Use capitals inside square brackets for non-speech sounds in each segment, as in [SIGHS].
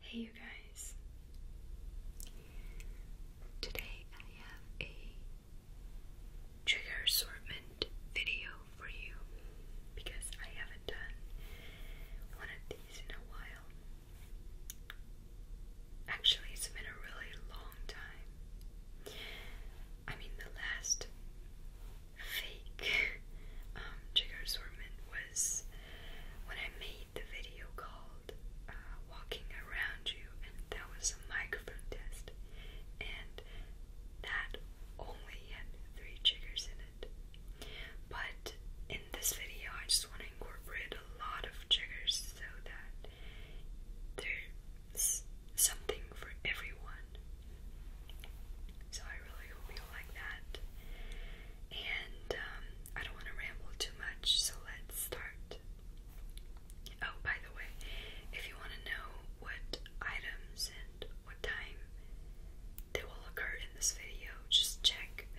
Hey you guys. Today I have a trigger assortment video for you because I haven't done one of these in a while. Actually, it's been a really long time. I mean, the last fake [LAUGHS] um, trigger assortment when I made the video called uh, Walking Around You, and that was a microphone test, and that only had three triggers in it. But in this video, I just want to incorporate a lot of triggers so that there's something for everyone. So I really hope you like that and um, I don't want to ramble too much, so let's start. Oh, by the way, if you want to know what items and what time they will occur in this video, just check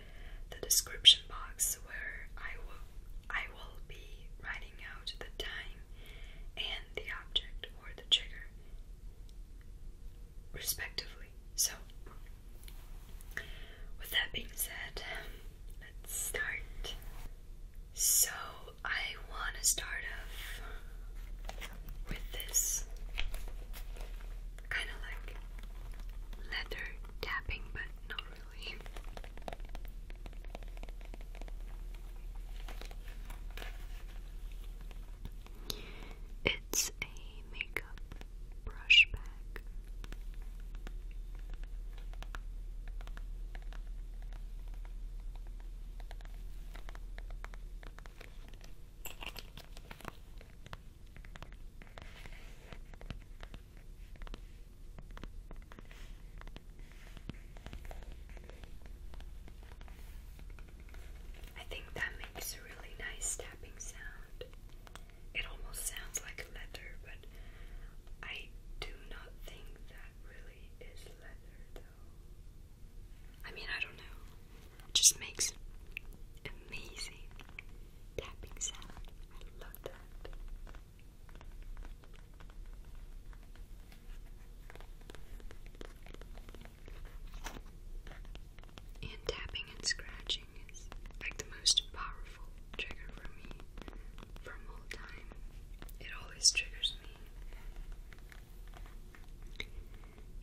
the description box where I will I will be writing out the time and the object or the trigger respectively. So, with that being said, let's start. So, I want to start off with this kind of like leather tapping, but not really. It's a makeup brush bag. I think that makes a really nice tapping sound it almost sounds like leather, but I do not think that really is leather though. I mean, I don't know. It just makes amazing tapping sound. I love that. And tapping and scratching like the most powerful trigger for me from all time. It always triggers me.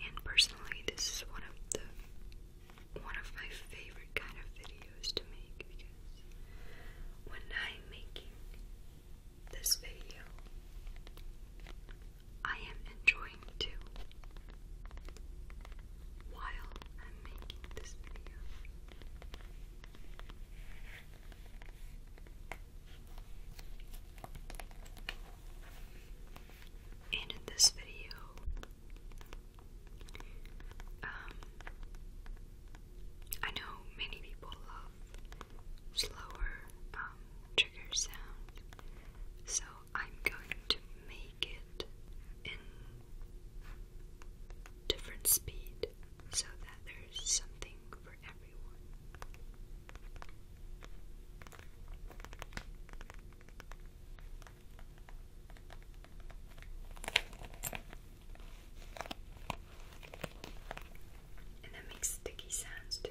And personally this is one of the one of my favorite kind of videos to make because when I'm making this video I am enjoying to while I'm making this video. And in this video, um, I know many people love slower um, trigger sound, so I'm going to make it in different speed so that there's something for everyone. And that makes sticky sounds too.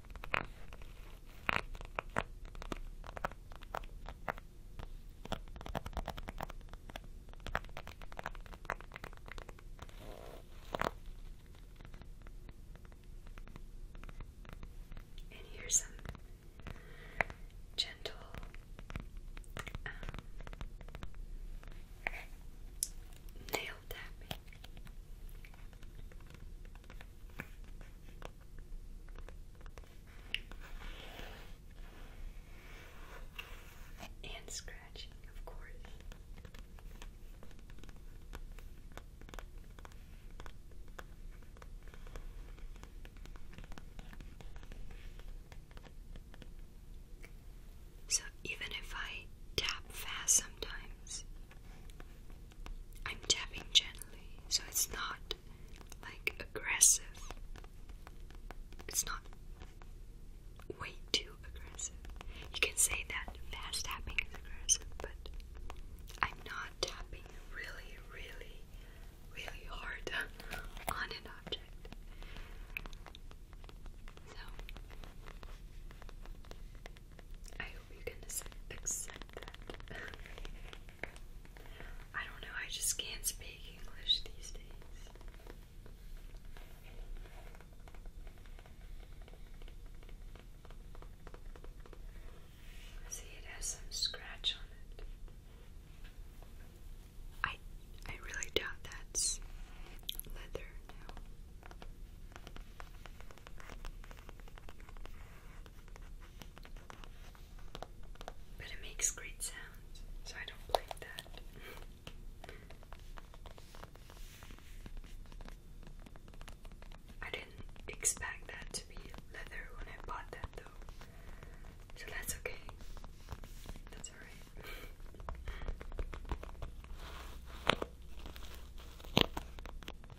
And here's some gentle um, nail and scratching, of course. So, even if I tap fast sometimes, I'm tapping gently, so it's not like aggressive. It's not way too aggressive. You can say that fast tapping is aggressive, but I'm not tapping really, really, really hard [LAUGHS] on an object. So I hope you can accept that. [LAUGHS] I don't know, I just can't speak English these days. See, it has some scratch on it. I I really doubt that's leather now. But it makes great sounds, so I don't blame that. I didn't expect that to be leather when I bought that though. So that's okay. That's alright. [LAUGHS]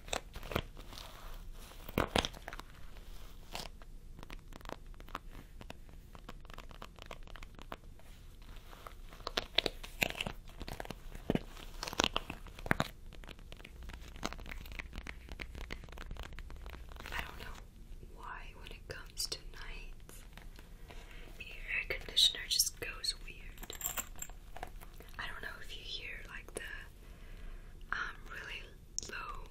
I don't know why, when it comes to nights, the air conditioner just goes weird. I don't know if you hear like the um, really low,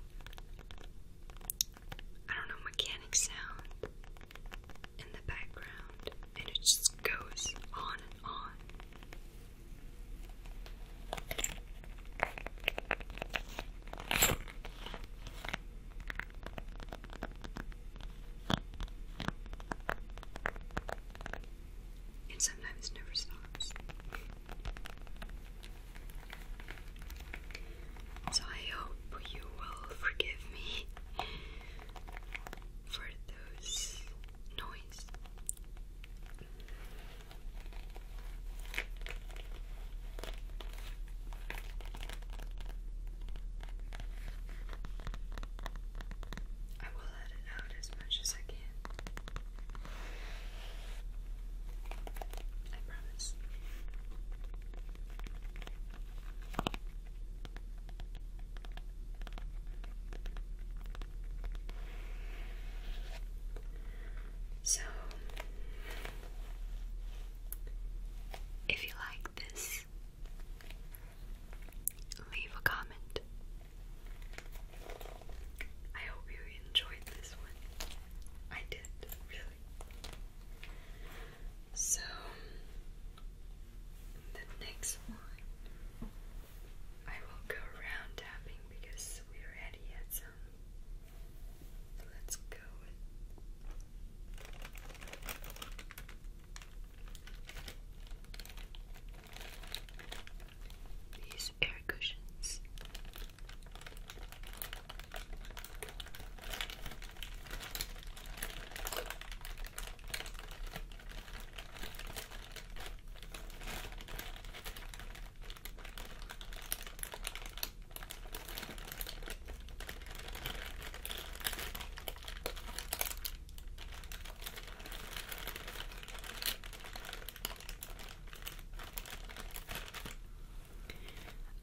I don't know, mechanic sound in the background, and it just goes on and on and sometimes never stops. So I hope you will forgive me for those noise let it out as much as I can. I promise. So, if you like this, leave a comment. I hope you enjoyed this one. I did, really. So, the next one, I will go around tapping because we already had some. let's go these air cushions.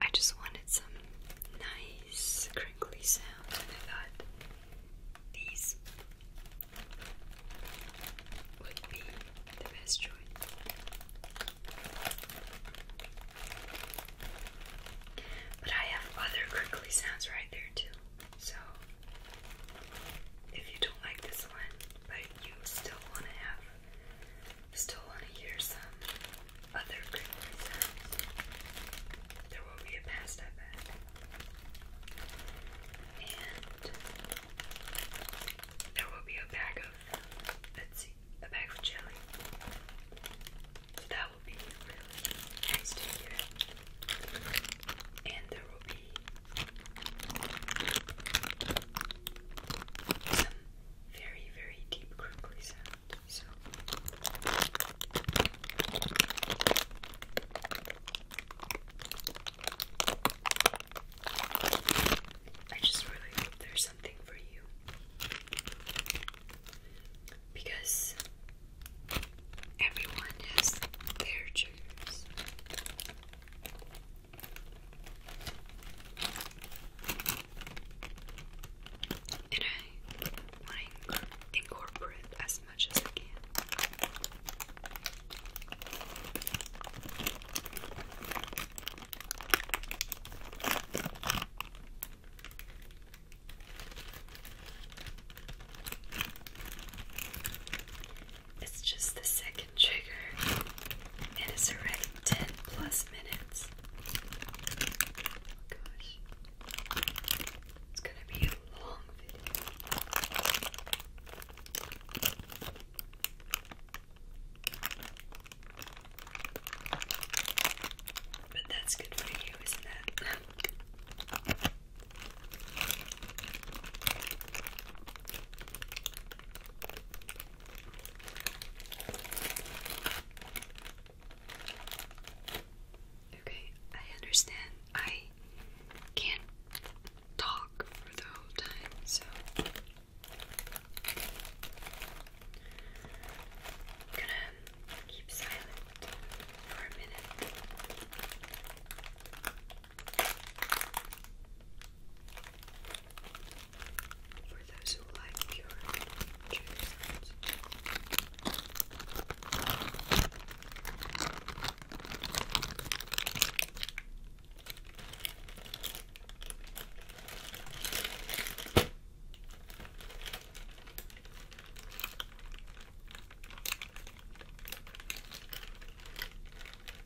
I just wanted some nice crinkly sounds, and I thought these would be the best choice. But I have other crinkly sounds right there too, so if you don't like this one, but you still want to have, still want to hear some other crinkly sounds. There will be a past, I And there will be a bag of, let's see, a bag of jelly. that will be really nice to hear and there will be some very, very deep crinkly sound. So I just really hope there's something for you. Because everyone has their triggers. And I want to incorporate as much as I can. It's just the second trigger. It is already 10 plus minutes. Oh gosh. It's gonna be a long video. But that's good for you, isn't it? Okay, I understand. I can't talk for the whole time, so I'm gonna keep silent for a minute. For those who like pure cherry sounds.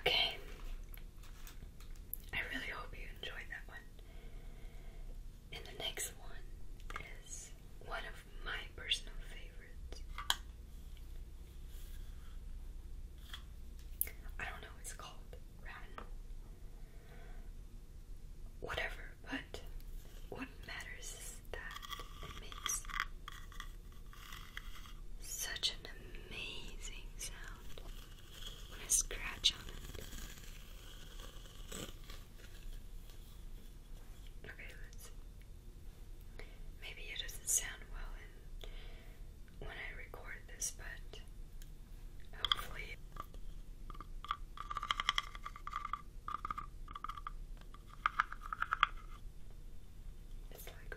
Okay. I really hope you enjoyed that one. And the next one is one of my personal favorites. I don't know what called. Whatever, but what matters is that it makes such an amazing sound when I scratch on it. Okay, let's. Maybe it doesn't sound well when I record this, but hopefully. It's like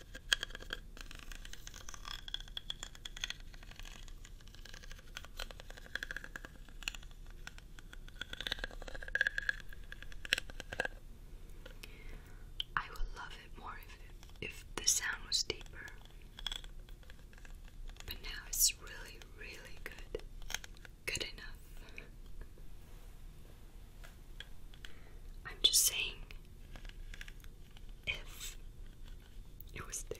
I would love it more if, if the sound was deeper. But now it's really, really good. Good enough. I'm just saying, if it was deeper.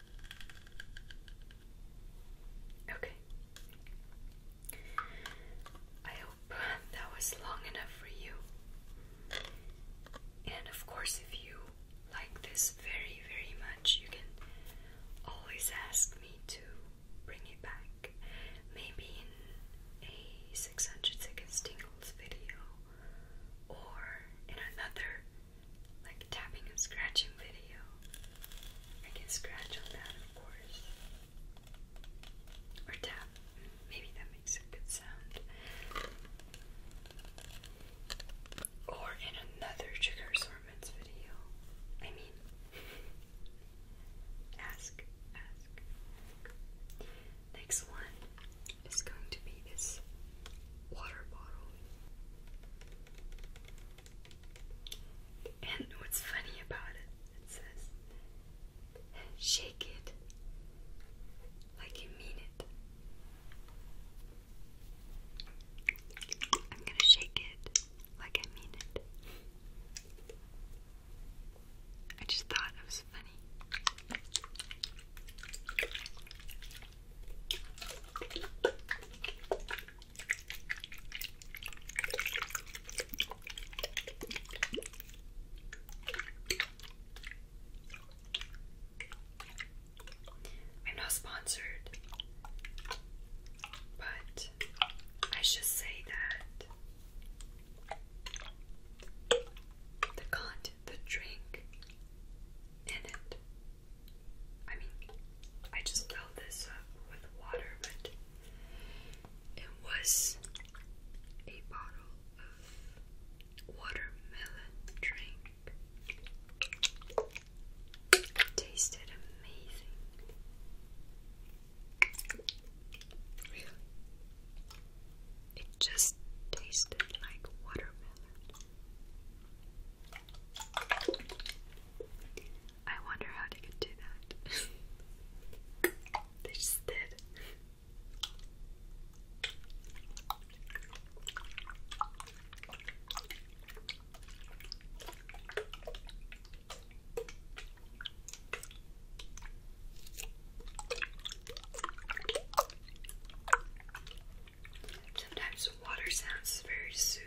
Okay. I hope that was long enough for you. And of course, if you like this very, very much, you can always ask me to bring it back. Maybe in a 600 tingles video or in another like tapping and scratching video. I can scratch on that, of course. Or tap. Maybe that makes a good sound. Or in another trigger assortments video. I mean, [LAUGHS] ask, ask. Next one is going to be this water bottle. And what's funny about it, it says, shake it like you mean it. I'm gonna shake it like I mean it. I just thought it was funny. I'm not sponsored, but I should say that the content, the drink in it I mean, I just filled this up with water, but it was a bottle of watermelon drink. tasted amazing. Really? It just tasted like watermelon. I wonder how they could do that. [LAUGHS] they just did. Sometimes water sounds very soothing.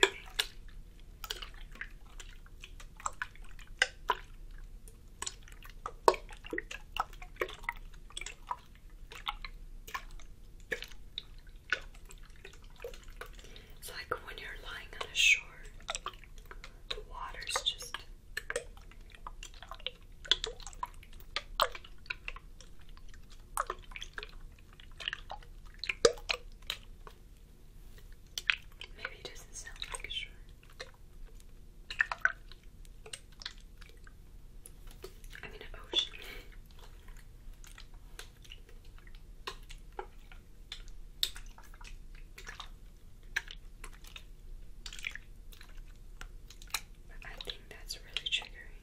It's like when you're lying on a shore, the water's just. Maybe it doesn't sound like a I mean, ocean. I think that's really triggering.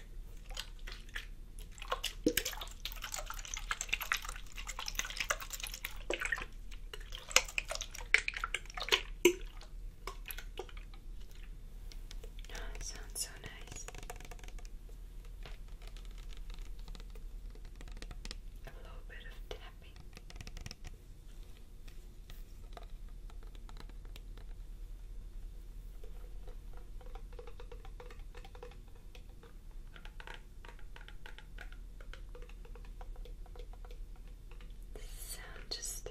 Oh, it sounds so nice. A little bit of tapping sound just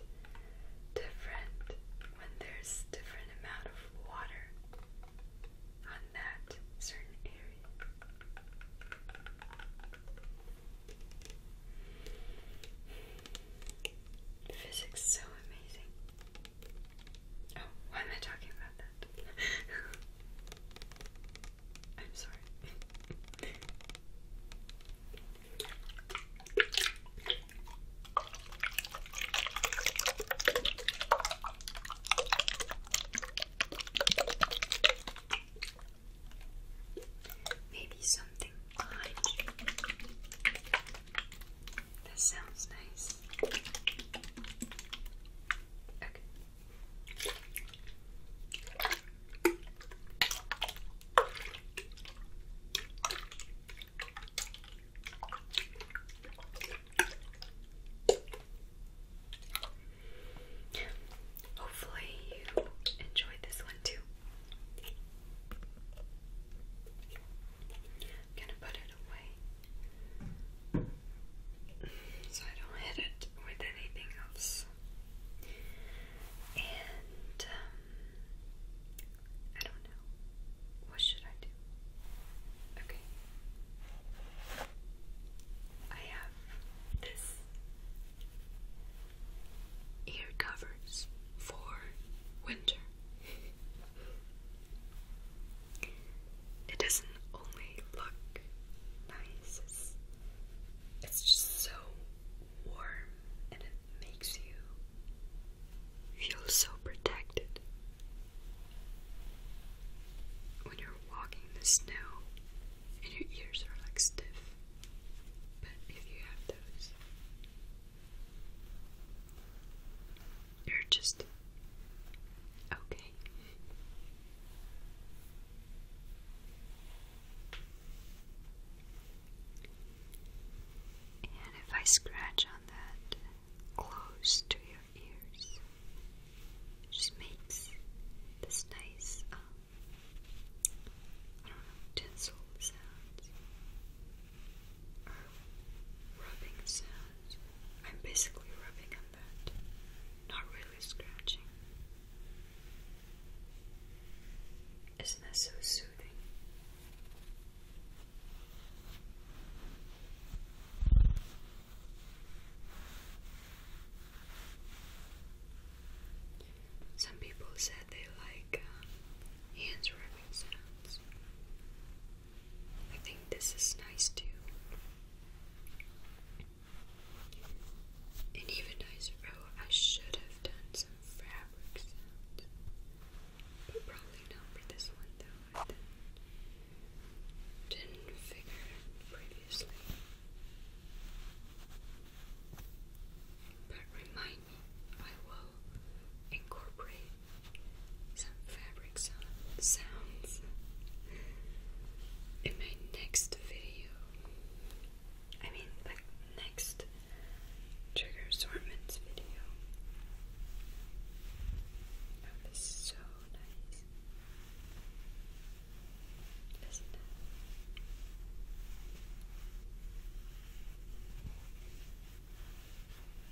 different when there's different amount of water on that certain area. Physics so amazing. Oh, why am I talking about that? [LAUGHS] I'm sorry. Maybe something this sounds nice. Hopefully, you enjoyed this one too. gonna put it so I don't hit it with anything else. And um, I don't know. What should I do? Okay. I have this ear covers for winter. [LAUGHS] It doesn't only look nice, it's, just so warm and it makes you feel so protected. When you're walking the snow and your ears are like stiff, but if you have those, you're just okay. And if I scratch on that close to your ears, it just makes this nice, um, I don't know, tinsel sounds or rubbing sounds. I'm basically rubbing on not really scratching. Isn't that so soothing? Some people said they like uh, hands rubbing sounds. I think this is nice too. And even nicer. Oh, I should have done some fabric But probably not for this one though. didn't, figure previously. But remind me, I will incorporate some fabric sounds in my next video. I mean, like, next trigger assortments video. Oh, so nice. Isn't it?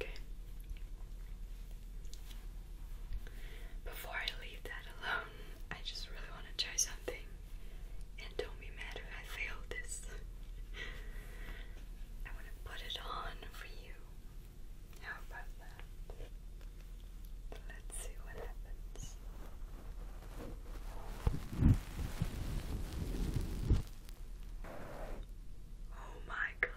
Okay. Before I leave that alone, I just really want to try something. And don't be mad if I fail this. I want to put it on for you. How about that? Let's see what happens. Oh my gosh.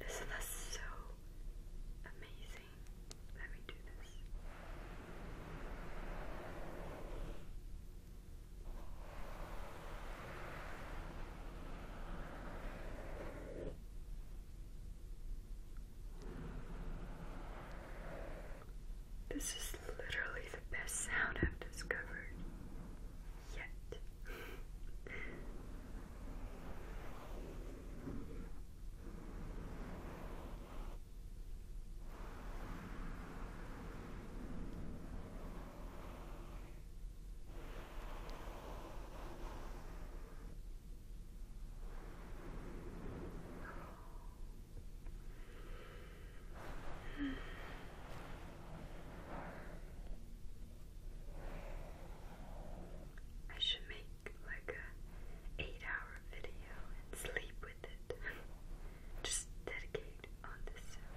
Isn't so amazing? Let me do this. This is literally the best sound I've discovered yet. [SIGHS] I should make like a eight hour video and sleep with it. [LAUGHS] Just dedicate on this. Sound.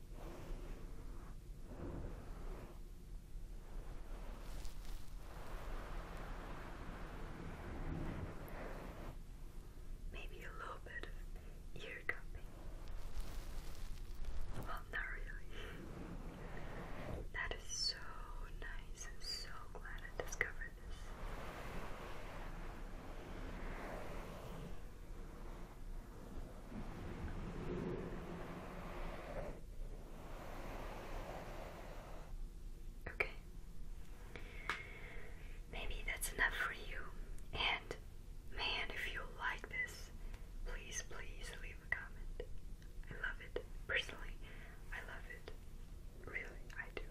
Maybe a little bit ear cupping. Well, not really. That is so nice. I'm so glad I discovered this. Okay. Maybe that's enough for you. And man, if you like this, please, please leave a comment. I love it. Personally, I love it. Really, I do.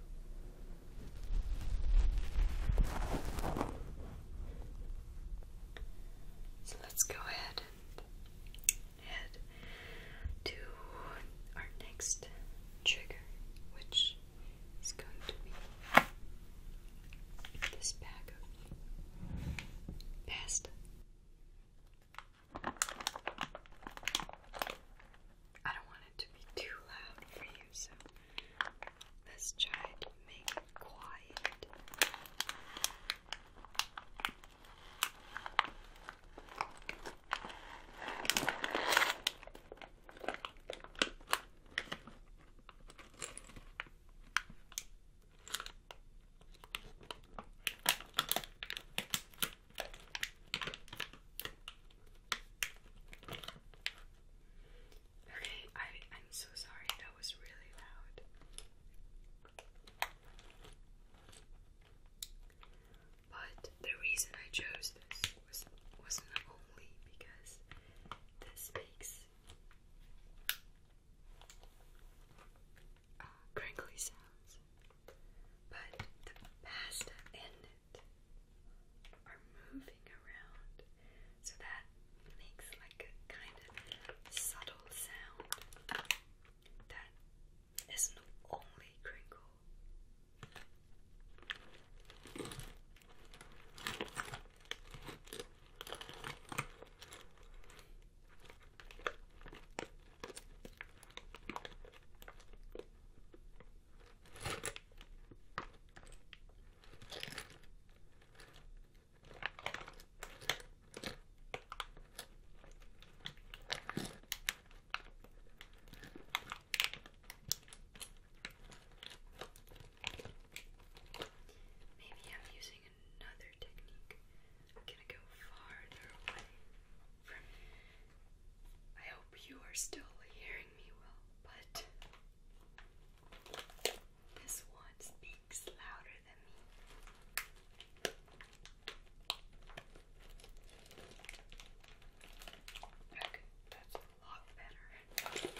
So let's go ahead and head to our next trigger, which is going to be this bag of pasta. I don't want it to be too loud for you, so Let's try to make it quiet. Okay, I I'm so sorry. That was really loud. But the reason I chose this was wasn't only because this makes uh, crinkly sounds, but the pasta and it are moving around. So that makes like a kind of subtle sound that isn't only crinkle. Maybe I'm using another technique. I'm gonna go farther away from I hope you are still hearing me well, but this one speaks louder than me. that's a lot better.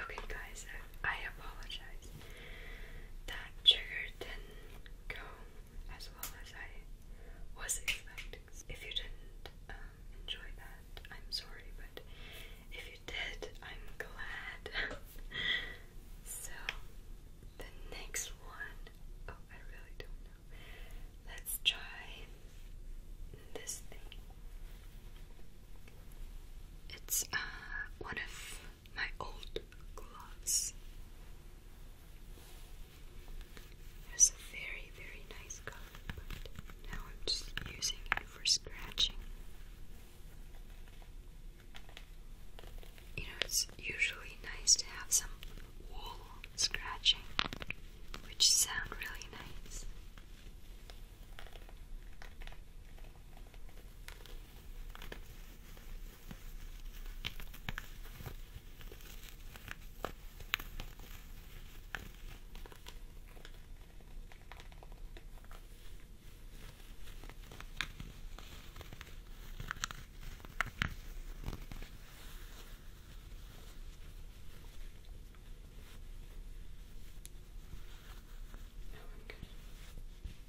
Okay, guys, I apologize that trigger didn't go as well as I was expecting. If you didn't um, enjoy that, I'm sorry, but if you did, I'm glad. [LAUGHS] so, the next one, oh, I really don't know. Let's try this thing. It's uh, one of my old gloves. It's a very, very nice color, but now I'm just using it for scratching. You know, it's usually nice to have some wool scratching, which sound really nice. No, I'm good.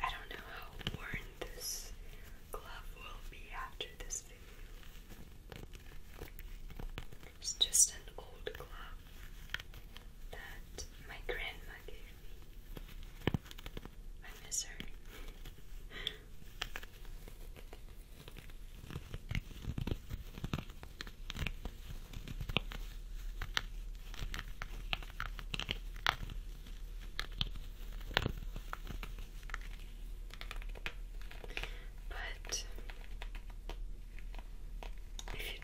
I don't know how worn this glove will be after this it's just an old clock that my grandma gave me. I miss her. But if you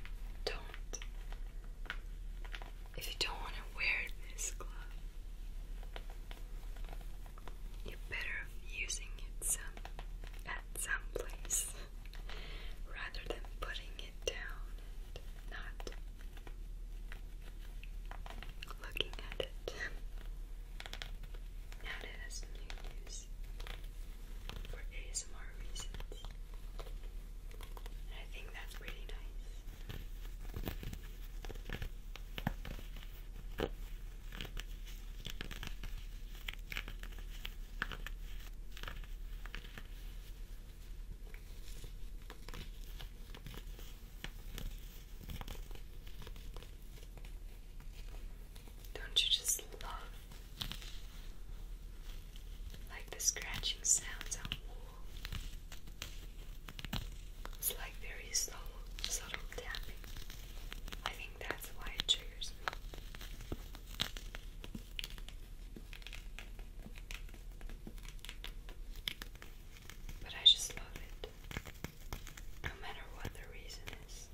don't if you don't want to wear this glove, you're better using it some at some place rather than putting it down and not looking at it. [LAUGHS] it as new news for ASMR reasons. And I think that's pretty nice. Don't you just love like the scratching sounds on wool? It's like very subtle, subtle tapping. I think that's why it triggers But I just love it no matter what the reason is.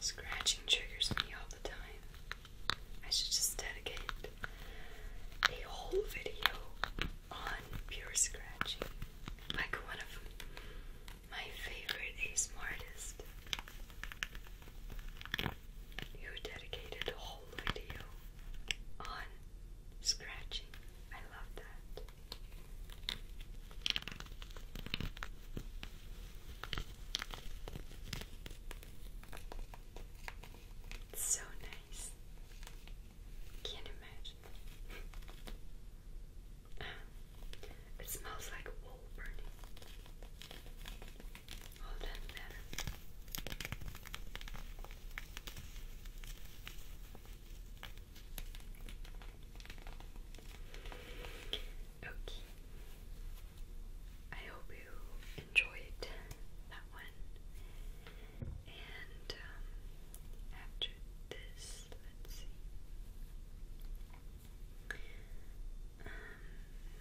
Scratching triggers me all the time. I should just dedicate a whole video on pure scratching like one of my favorite ASMR artists who dedicated a whole video on scratching. I love that. so nice. Can't imagine. Um, it smells like wool burning. Oh, that's better. Okay. I hope you enjoyed that one. And um, after this, let's see. Um,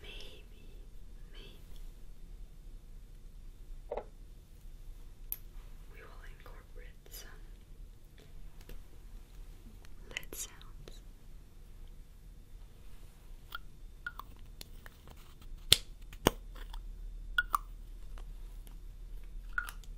maybe, maybe we will incorporate some lead sounds.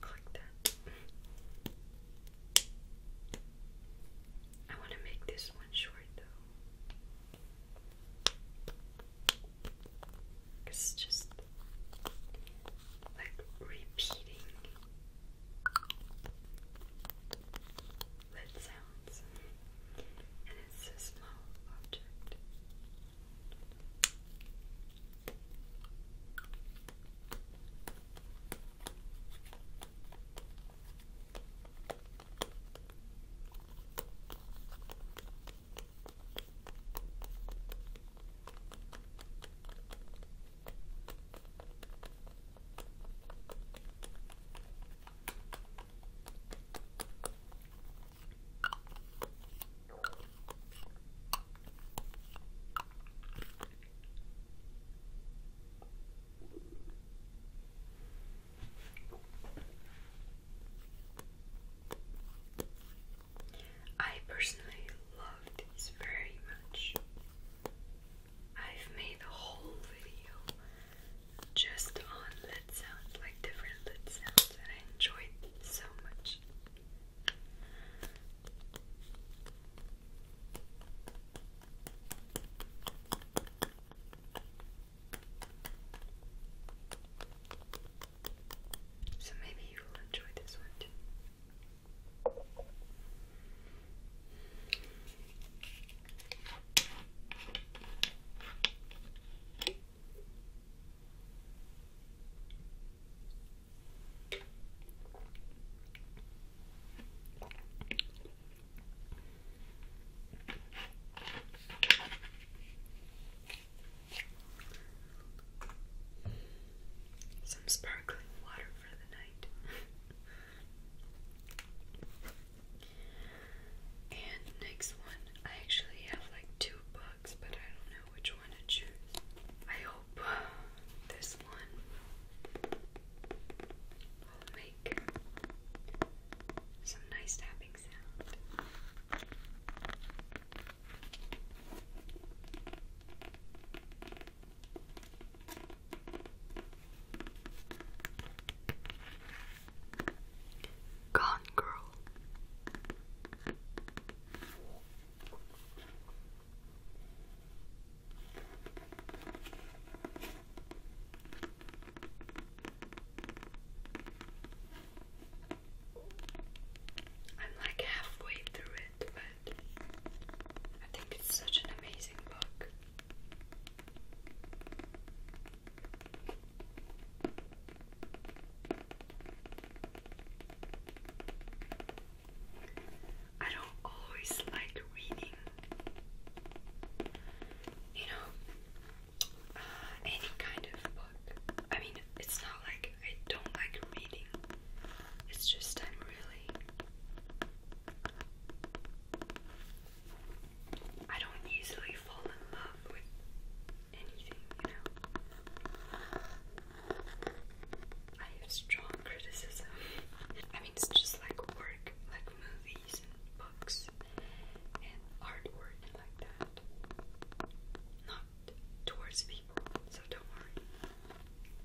Click that. I want to make this one short though. It's just like repeating lid sounds, and it's a small object. Now I personally love these very much. I've made a whole video just on lid sounds, like different lid sounds, and I enjoyed it so much. So maybe you will enjoy this one too. Some sparkling water for the night and next one, I actually have like two books, but I don't know which one to choose. I hope this one will make some nice tapping sound. Gone Girl. I'm like halfway through it but I think it's such an amazing book. I don't always like reading, you know, uh, any kind of book. I mean, it's not like I don't like reading, it's just I'm really I don't easily fall in love with anything, you know. I have strong criticism. I mean, it's just like work, like movies and books and artwork and like that. Not towards people, so don't worry.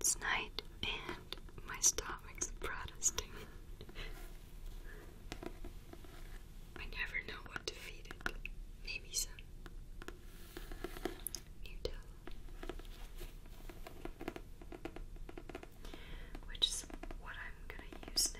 It's night and my stomach's protesting. I never know what to feed it. Maybe some Nutella. Which is what I'm gonna use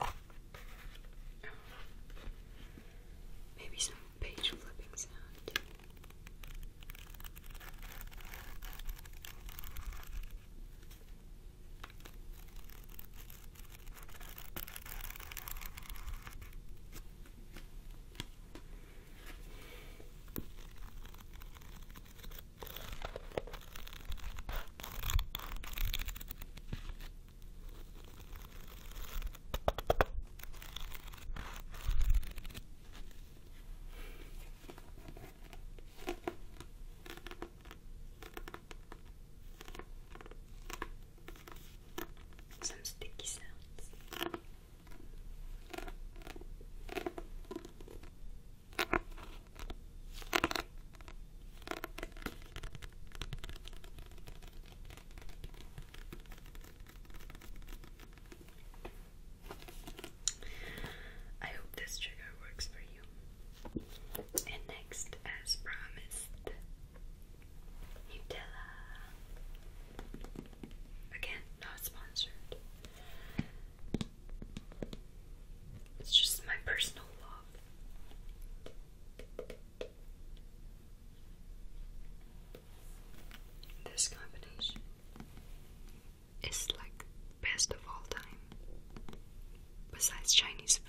Oh. Maybe some page flipping sound. Some sticky sounds. I hope this trigger works for you. And next, as promised, Nutella. Again, not sponsored. It's just my personal love. This combination is like best of all time, besides Chinese food.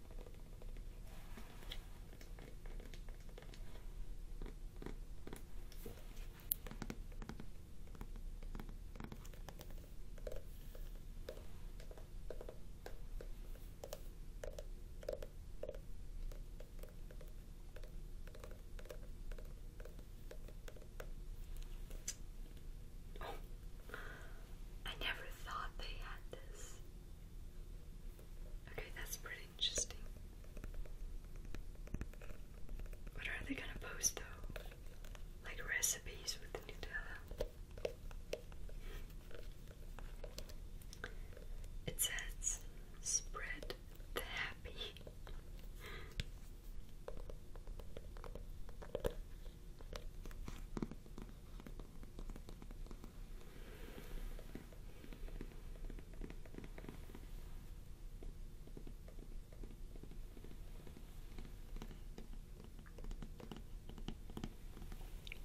Oh, I never thought they had this. Okay, that's pretty interesting. What are they gonna post though? Like recipes with Nutella? It says, spread the happy.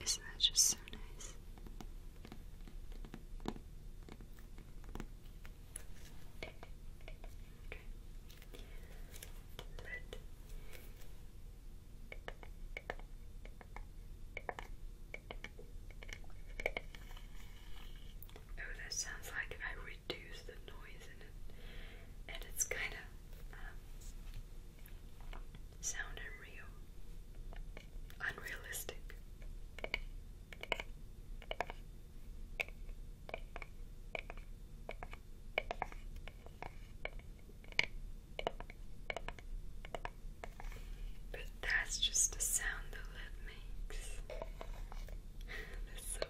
Isn't that just so nice? Oh, that sounds like I reduce the noise in it, and it's kind of um, sound unreal, unrealistic. But that's just the sound the lid makes. [LAUGHS] that's so funny.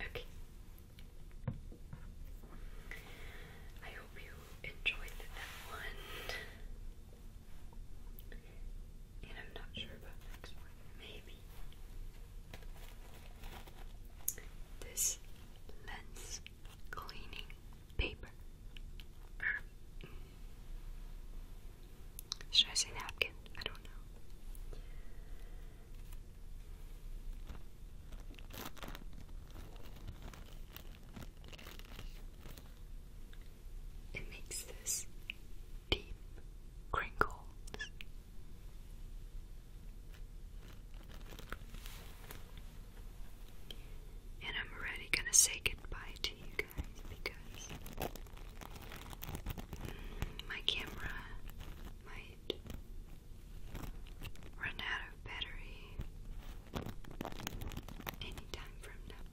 Okay. I hope you enjoyed that one. And I'm not sure about the one. Maybe. This lens cleaning paper. Should I say napkin? I don't know. It makes this deep crinkle, And I'm already gonna say goodbye to you guys because my camera might run out of battery anytime from now.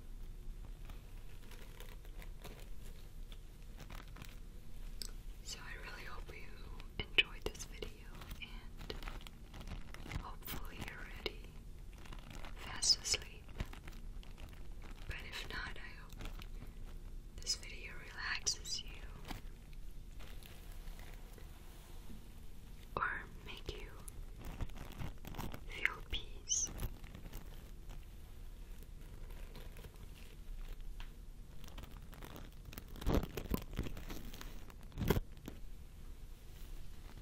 So I really hope you enjoyed this video and hopefully you're ready, fast asleep. But if not, I hope this video relaxes you or make you you feel peace.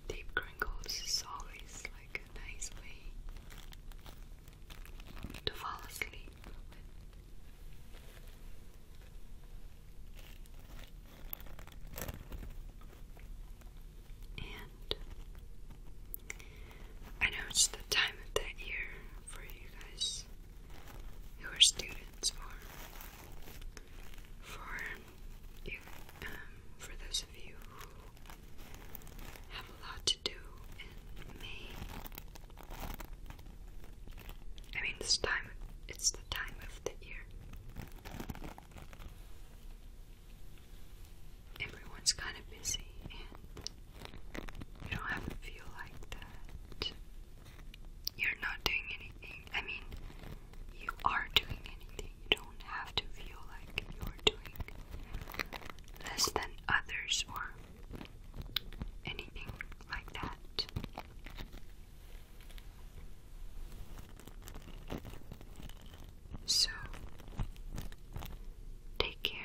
Deep crinkles always like a nice way to fall asleep. And I know it's the time of the year for you guys who are students or for you, um, for those of you who have a lot to do and may I mean this time it's the time of the year everyone's kind of busy and you don't have to feel like that. You're not doing anything. I mean, you are doing anything. You don't have to feel like you're doing less than others or anything like that. So, take care.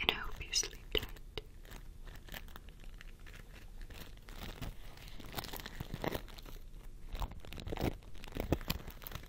And I hope you sleep tight.